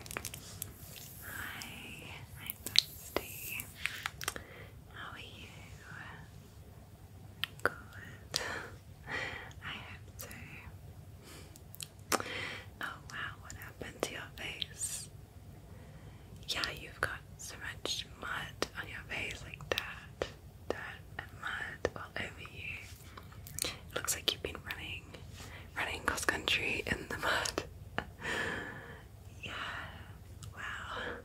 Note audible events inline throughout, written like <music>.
Hi, I'm Dusty. How are you? Good. I hope so. Oh wow, what happened to your face? Yeah, you've got so much mud on your face, like that, dirt and mud all over you. It looks like you've been running, running cross country in the mud. <laughs> yeah, wow.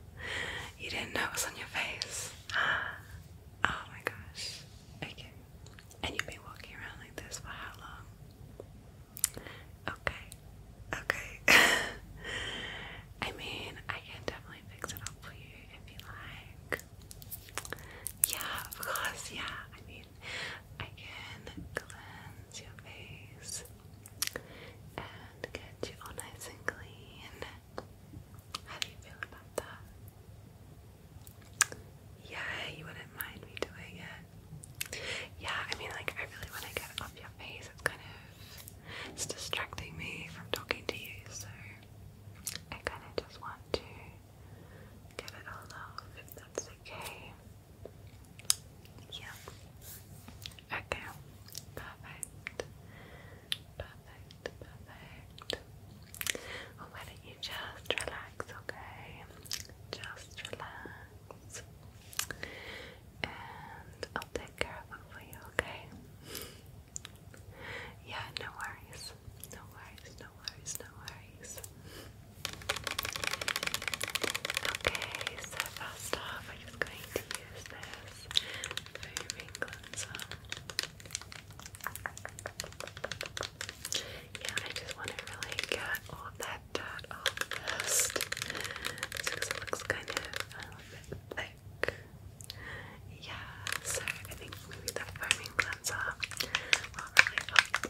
You didn't know it on your face. <gasps> Oh my gosh. Okay. And you've been walking around like this for how long? Okay. Okay. <laughs> I mean, I can definitely fix it up for you if you like. Yeah, of yeah. I mean, I can cleanse your face and get you all nice and clean. How do you feel about that? Yeah, you wouldn't mind me doing it. Yeah, I mean, like, I really want to get it off your face. It's kind of it's distracting me from talking to you, so I kind of just want to get it all off if that's okay. Yeah. Okay. Perfect. Perfect. Perfect. why don't you just relax, okay? Just relax. And I'll take care of it for you, okay? yeah, no worries. No worries no worries, no worries. Okay, so first off, I'm just going to use this foaming cleanser. Yeah, I just want to really get all that dirt off first. because it looks kind of a little bit thick. Yeah, so I think maybe the foaming cleanser will really help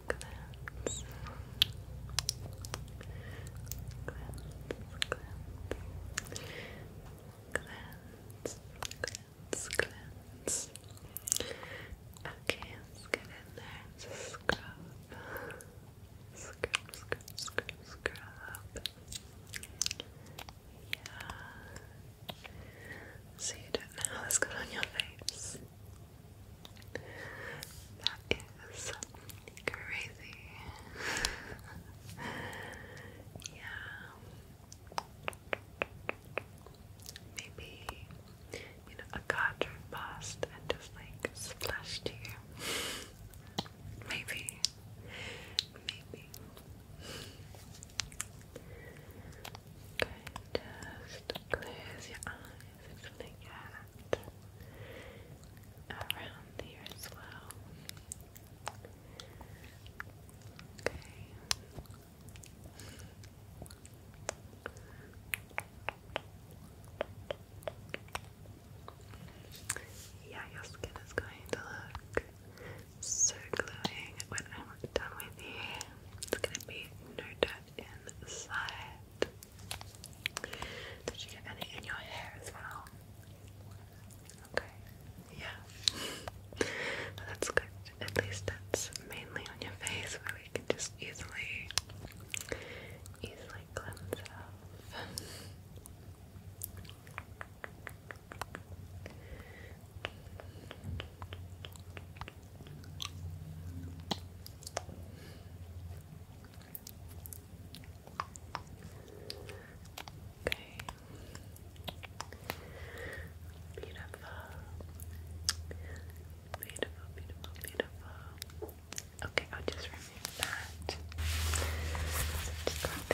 cleanse, cleanse, cleanse, cleanse, cleanse, cleanse. Okay, let's get in there scrub. Scrub, scrub, scrub, Yeah. So you don't know on your face. That is crazy. <laughs> yeah. Maybe, you know, a card passed and just like splashed you. <laughs> Maybe. Maybe. Okay, just close your eyes easy around here as well. Yeah, your skin is going to look so glowing when I'm done with you. It's gonna be no inside. Did you get any in your hair as well? Okay, yeah. that's good. At least that's mainly on your face where we can just easily, easily cleanse Okay. Beautiful. Beautiful, beautiful, beautiful. Okay, I'll just remove that. Just like this.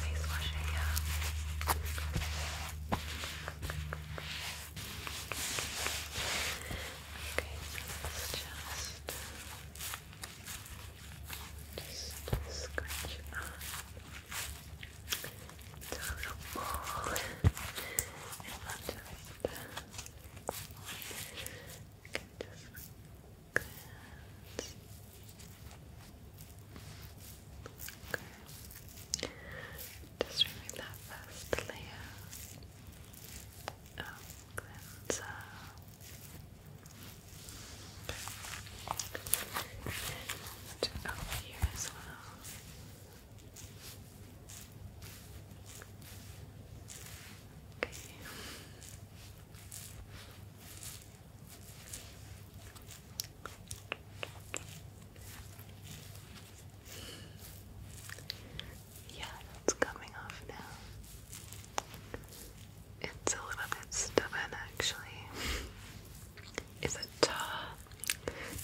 Face wash it, Okay, so let's just, just scratch a little ball. and i just, I can just glance. Okay. Just remove that first layer of cleanser. And over here as well. Okay. Yeah, that's coming off now. It's a little bit stubborn actually. Is it tar?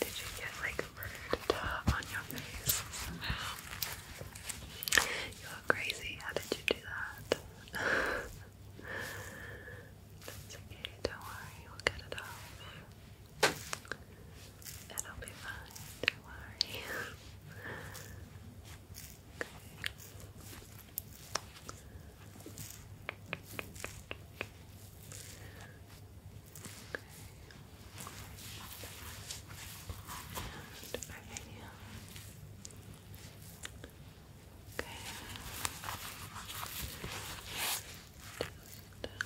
Did you get like tar on your face somehow? You are crazy. How did you do that? <laughs> That's okay, don't worry, we'll get it off. It'll be fine, don't worry. okay. Okay. Okay just Okay,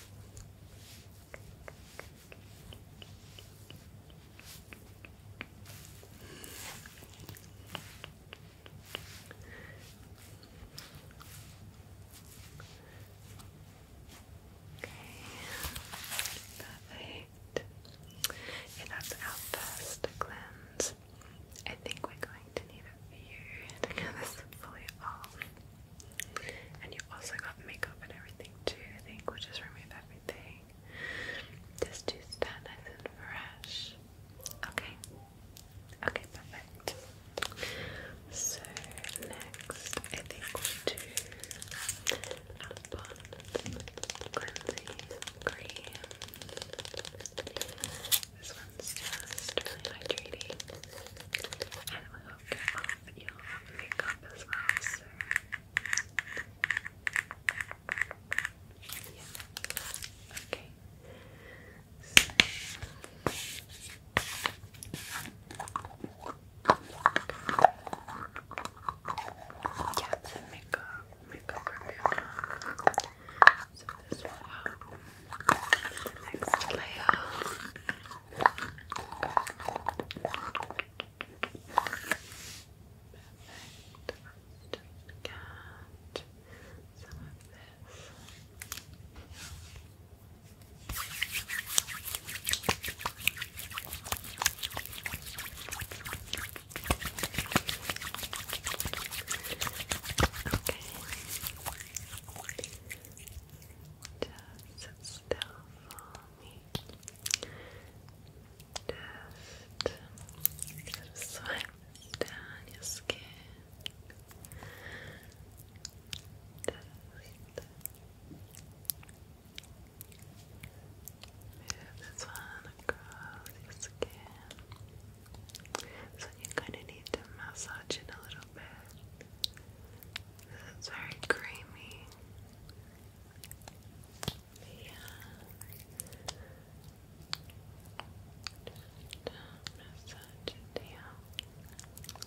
perfect. It that's our first cleanse. I think we're going to need a few to this fully off. And you also got makeup and everything too, I think. We'll just remove everything. Just to stand nice and fresh. Okay. Okay, perfect. So next I think we'll do Upon Cleansing Cream. This one's just really hydrating. And it will get off your makeup as well, so yeah. Okay. So yeah, the makeup, makeup remover. So this one out. Next layer. Perfect. Let's just get some of this. Okay. Just still for me. Just swipe down your skin. Just Move this one across your skin. So you kind of need to massage it a little bit. It's very creamy. Yeah. Just uh, massage it down. Good.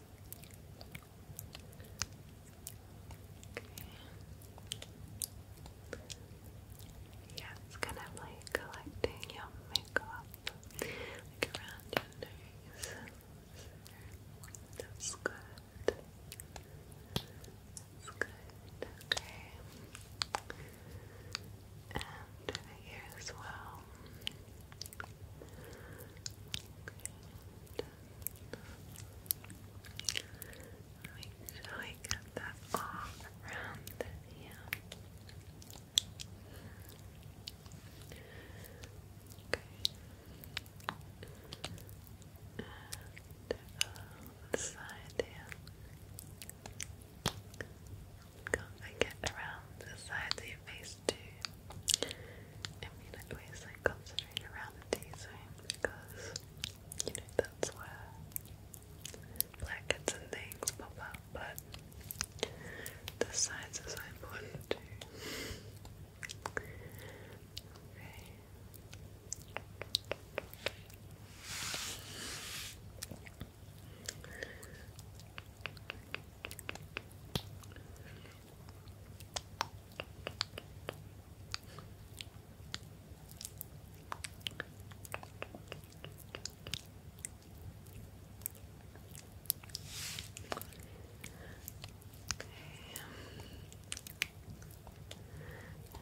Yeah, it's kind of like collecting your makeup around your nose. That's good. That's good. Okay. And here as well. Make sure get that all around here. Okay. And uh, side here. Can't get around the side of your face to I mean I always like around the D zone because you know that's where blackheads and things pop up but the sides are so important too.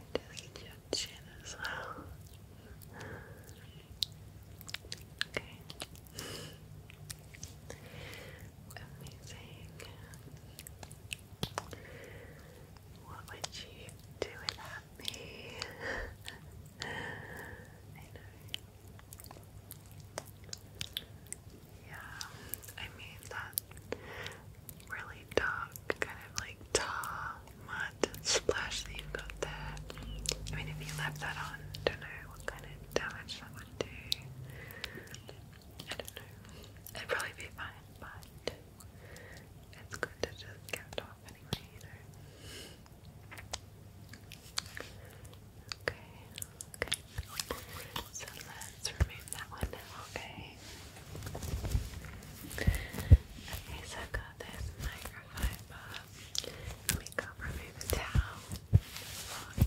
Just your chin as well. Okay. Amazing. What would you do without me? <laughs> I know. Yeah, I mean that really dark kind of like tar mud splash that you got there. I mean if you left that on, don't know what kind of damage that would do. I don't know. It'd probably be fine, but it's good to just get it off anyway, Okay, okay. So let's remove that one now, okay? Okay, so i got this microfiber. Let me go remove the towel.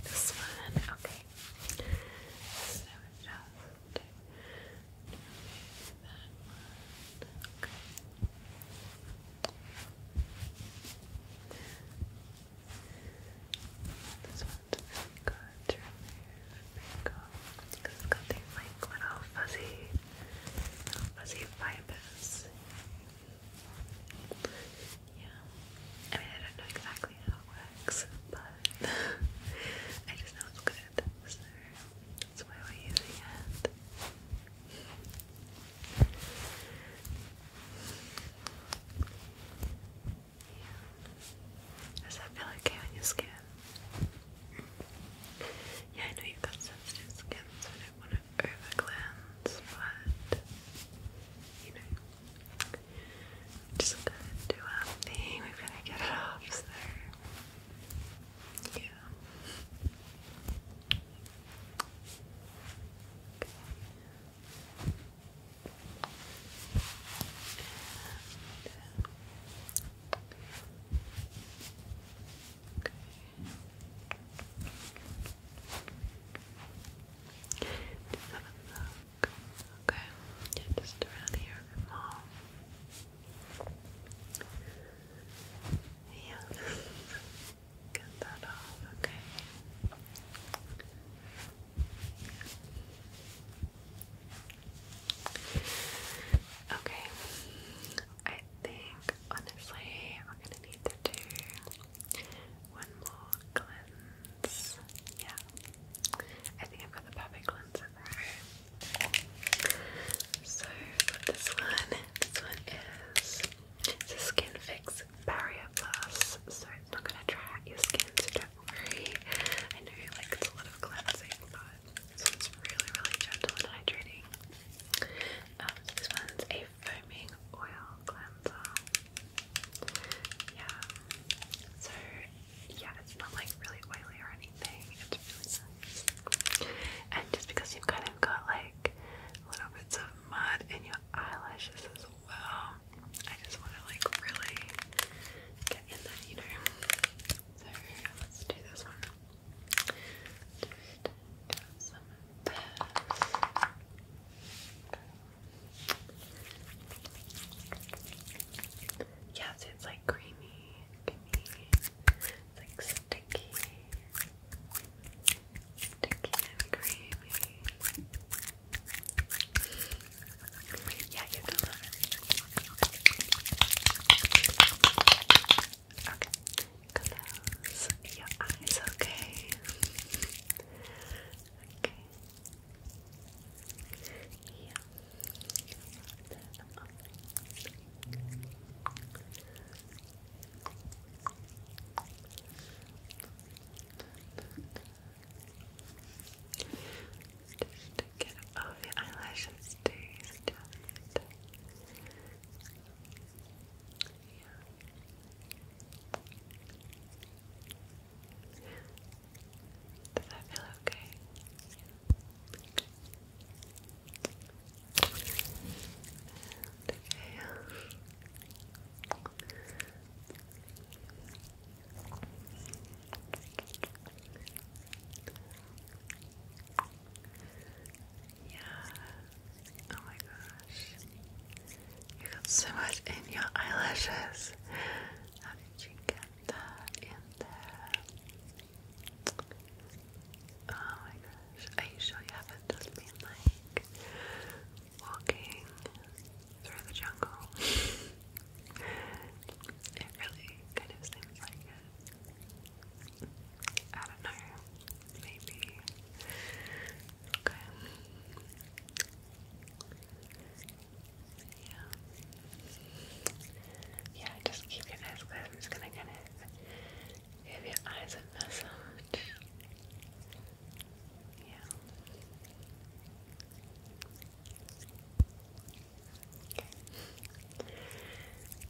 This one, okay. So just remove that one. Okay. This one's really you got these like little fuzzy, little fuzzy fibers. Yeah. I mean, I don't know exactly how it works, but <laughs> I just know it's good, so that's why we're using it. Does that feel okay on your skin? Yeah, I know you've got sensitive skin, so I don't want to over but you know, just going do our thing. We've gotta get it off, yeah. Okay. Okay. Just have Okay, just around here a Yeah, <laughs> get that off, okay. Okay, I think honestly we're gonna need to do one more cleanse. Yeah. I think I've got the perfect lens in there. So this one. This one is the Skin Barrier Plus. So it's not gonna dry your skin, so don't worry. I know like a lot of cleansing, but this one's really, really gentle and hydrating. Um, this one's a foaming oil cleanser. Yeah. So yeah, it's not like really oily or anything. And just because you kind of got like little bits of mud in your eyelashes as well, I just want to like really get in there, you know. So let's do this one. Yeah, it's like creamy, It's like sticky, sticky and creamy. Okay, close your eyes, okay? Okay. Yeah. Just to get all the eyelashes to does that feel okay? And Yeah, Oh my gosh. You got so much in your eyelashes. How did you get that in there? Oh my gosh. Are you sure you haven't just been like walking through the jungle? <laughs> it really kind of seems like it. I don't know. Maybe. Okay. Yeah. Yeah, just keep your eyes closed. I'm just gonna kind of give your eyes a massage. Yeah.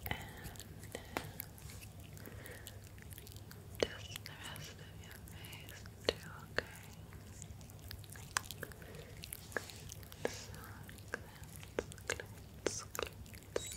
And uh, just the rest of your face too, okay? Good, so good, good, good. Okay.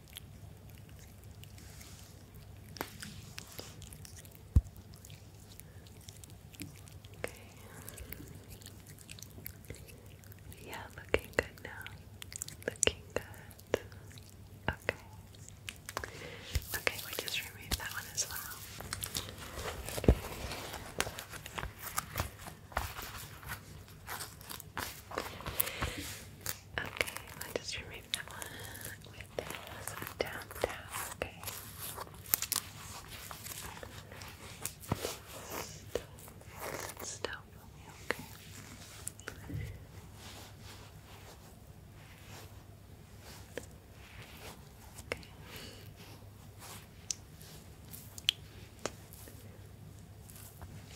Okay. Yeah, looking good now. Looking good. Okay. Okay, we just removed that one as well. Okay, I just remove that one Okay. Stop for me. Okay. Okay.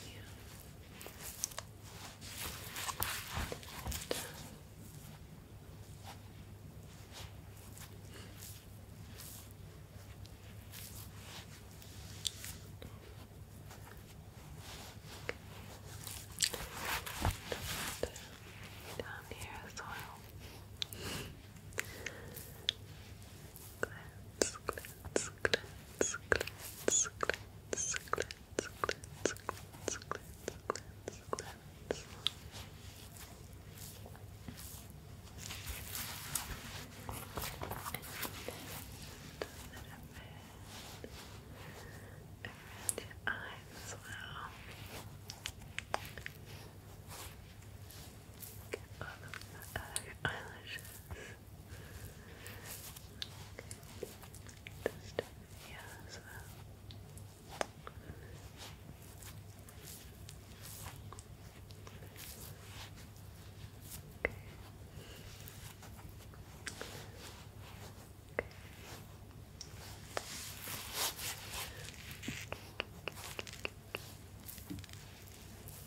Yeah down here as well. Glance, glance, glance, glance, glance, glance, cleanse, cleanse, cleanse, cleanse, cleanse, cleanse. And your eyes as well. Get all the eyelashes just here Okay.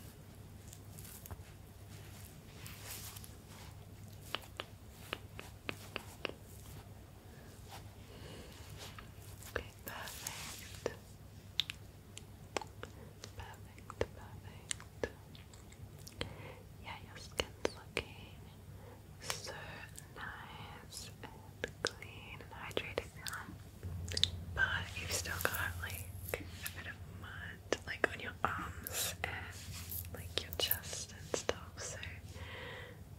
Okay, perfect. Perfect, perfect. Yeah, your skin's looking so nice and clean and hydrated But you've still got like a bit of mud and like on your arms and like your chest and stuff. So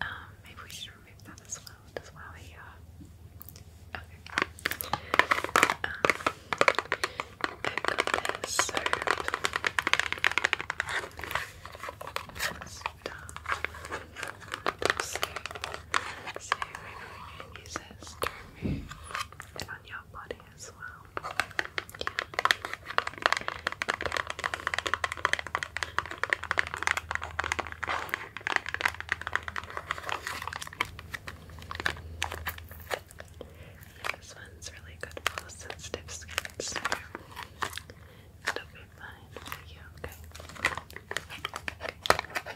um, maybe we should remove that as well. As Okay. Um, I've So, so maybe we can use on your body as well. Yeah. this one's really good for sensitive skin, it'll be fine for you, okay?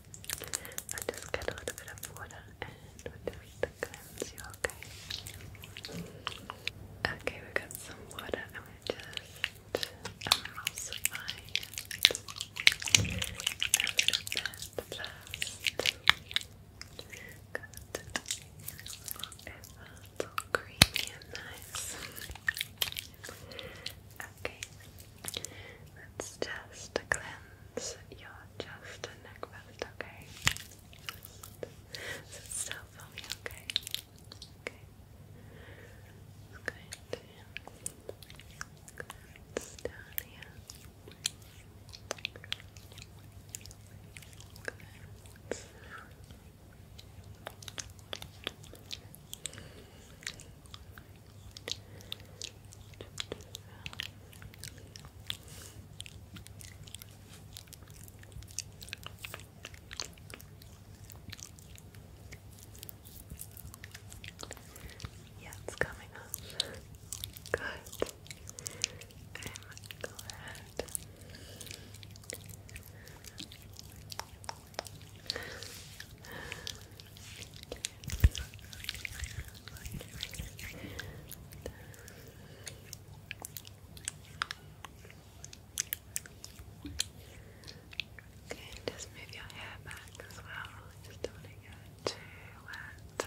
i just get a little bit of water and we the cleanse you, okay? Okay, we got some water and we just emulsify it a little bit first. Good. creamy and nice. Okay, Let's just cleanse your chest and neck first, okay? So okay? Okay. I'm going yeah, it's coming up. Good. I'm glad. Okay, just move your hair back as well. Just don't get too wet.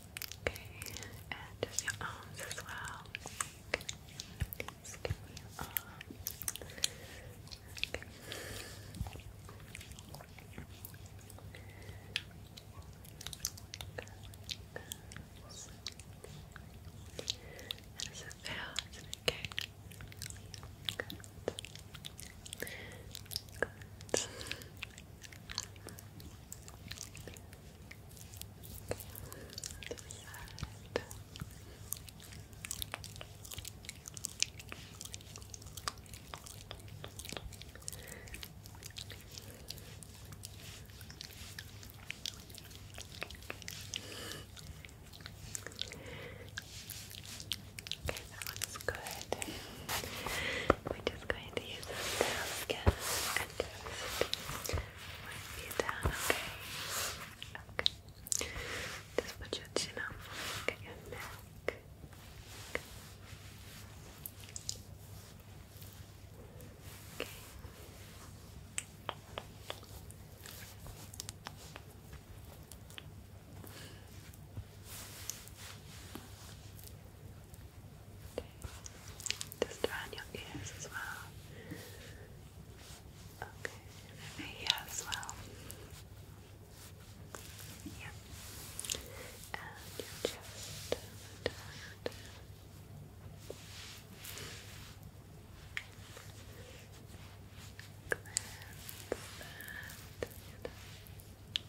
Okay, and just your arms as well. Okay. Just give me your arms. feel? okay? Okay, that looks good. We're just going to use a again just you down, okay? Okay. Just put your chin up, look your neck. Okay. Okay. Just around your ears as well. Okay, and over well. Yeah. And your chest and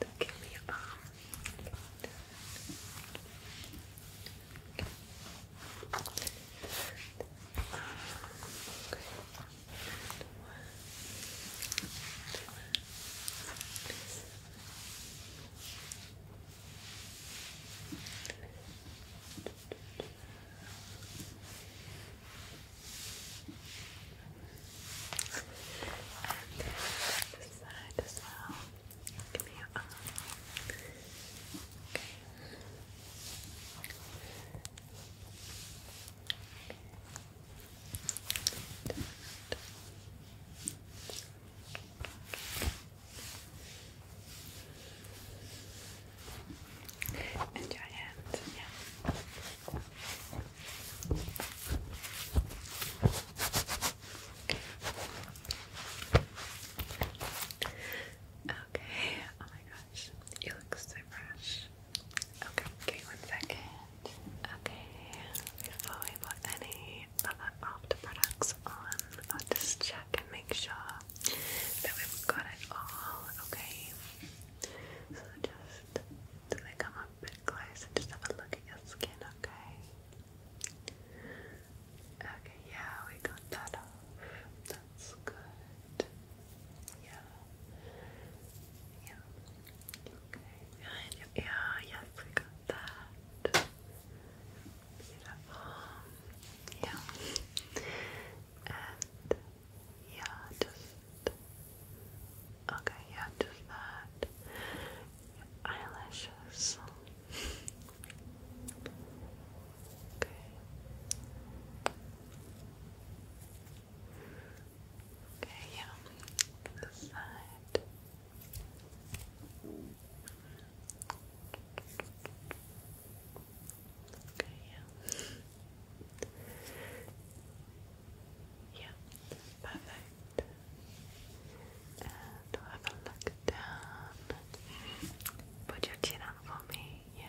and give me a this side as well. Give me your arm. Okay. Okay. And your yeah. Okay, oh my gosh, you look so fresh. Okay, one second. Okay, before we put any other after products on, i just check and make sure that we've got it all. Okay, so just so they come up a bit close just have a look at your skin. Okay. Okay, yeah, we got that off. That's good. Yeah. Yeah. Okay, behind yes, we got that. Yeah. And yeah, just okay, yeah, just that. eyelashes. Okay. Okay, yeah. This side. Okay, yeah. Yeah, perfect. And have a look down. Put your chin on for me, yeah.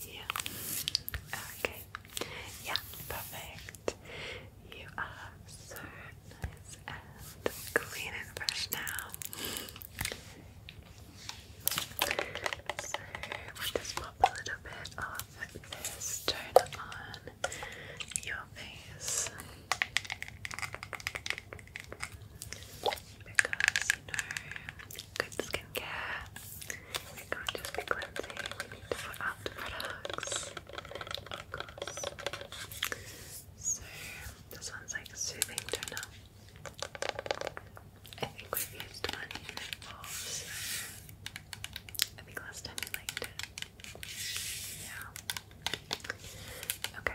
Yeah. Okay. Yeah, perfect. You are so nice and clean and fresh now. we just pop a little bit of this toner on your face. Because you good skincare it can't just be cleansing, we need to put out products. So, this one's like a soothing toner. I think we've used one in it before, so I think last time we liked Yeah. Okay.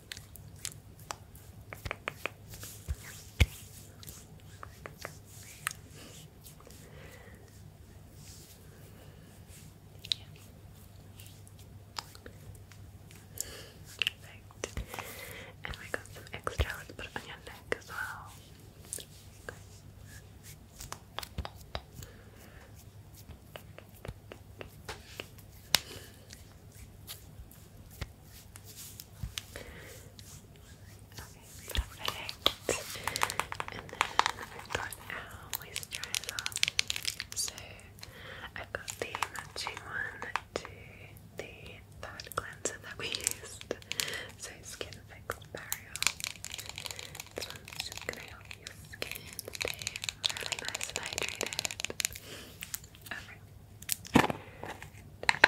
Perfect. And we got some extra. Let's put it on your neck as well. Okay, perfect. And then I've got our moisturizer. So I've got the matching one to the third cleanser that we used. So Skin Fix Barrier. This one's just gonna help your skin stay really nice and hydrated. Okay. Get I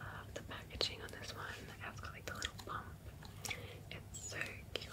love the packaging on this one. It's got like the little bump. It's so cute.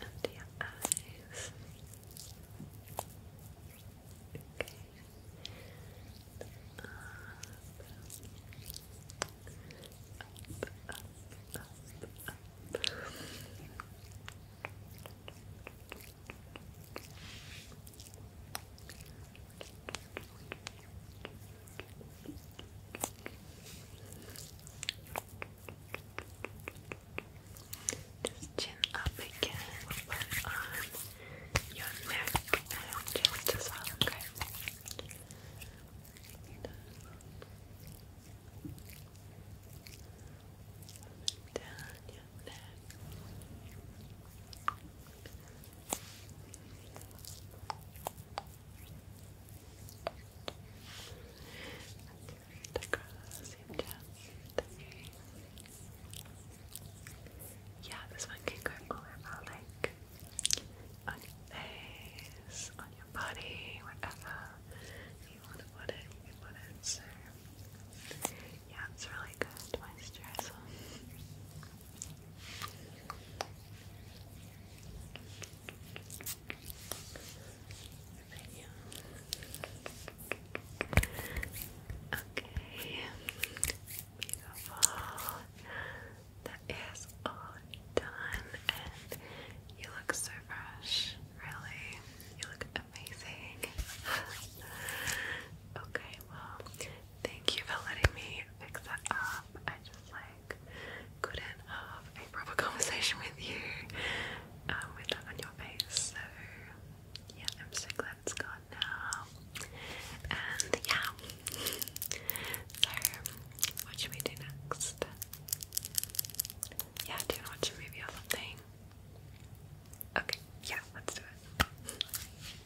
Under your eyes. Okay. Just chin up again, put on your neck and just as well, Down your neck. Across Yeah, this one can go all over, like on your face, on your body, whatever you want to put it, you can put it. So, yeah, it's really good moisturizer. Okay. Beautiful. That is all done and you look so fresh, really. You look amazing. okay, well, Thank you for letting me fix that up. I just like couldn't have a proper <laughs> conversation with you um, with that on your face. So yeah, I'm so glad it's gone now. And yeah. So what should we do next? Yeah, do you want to watch a movie or something? Okay, yeah, let's do it.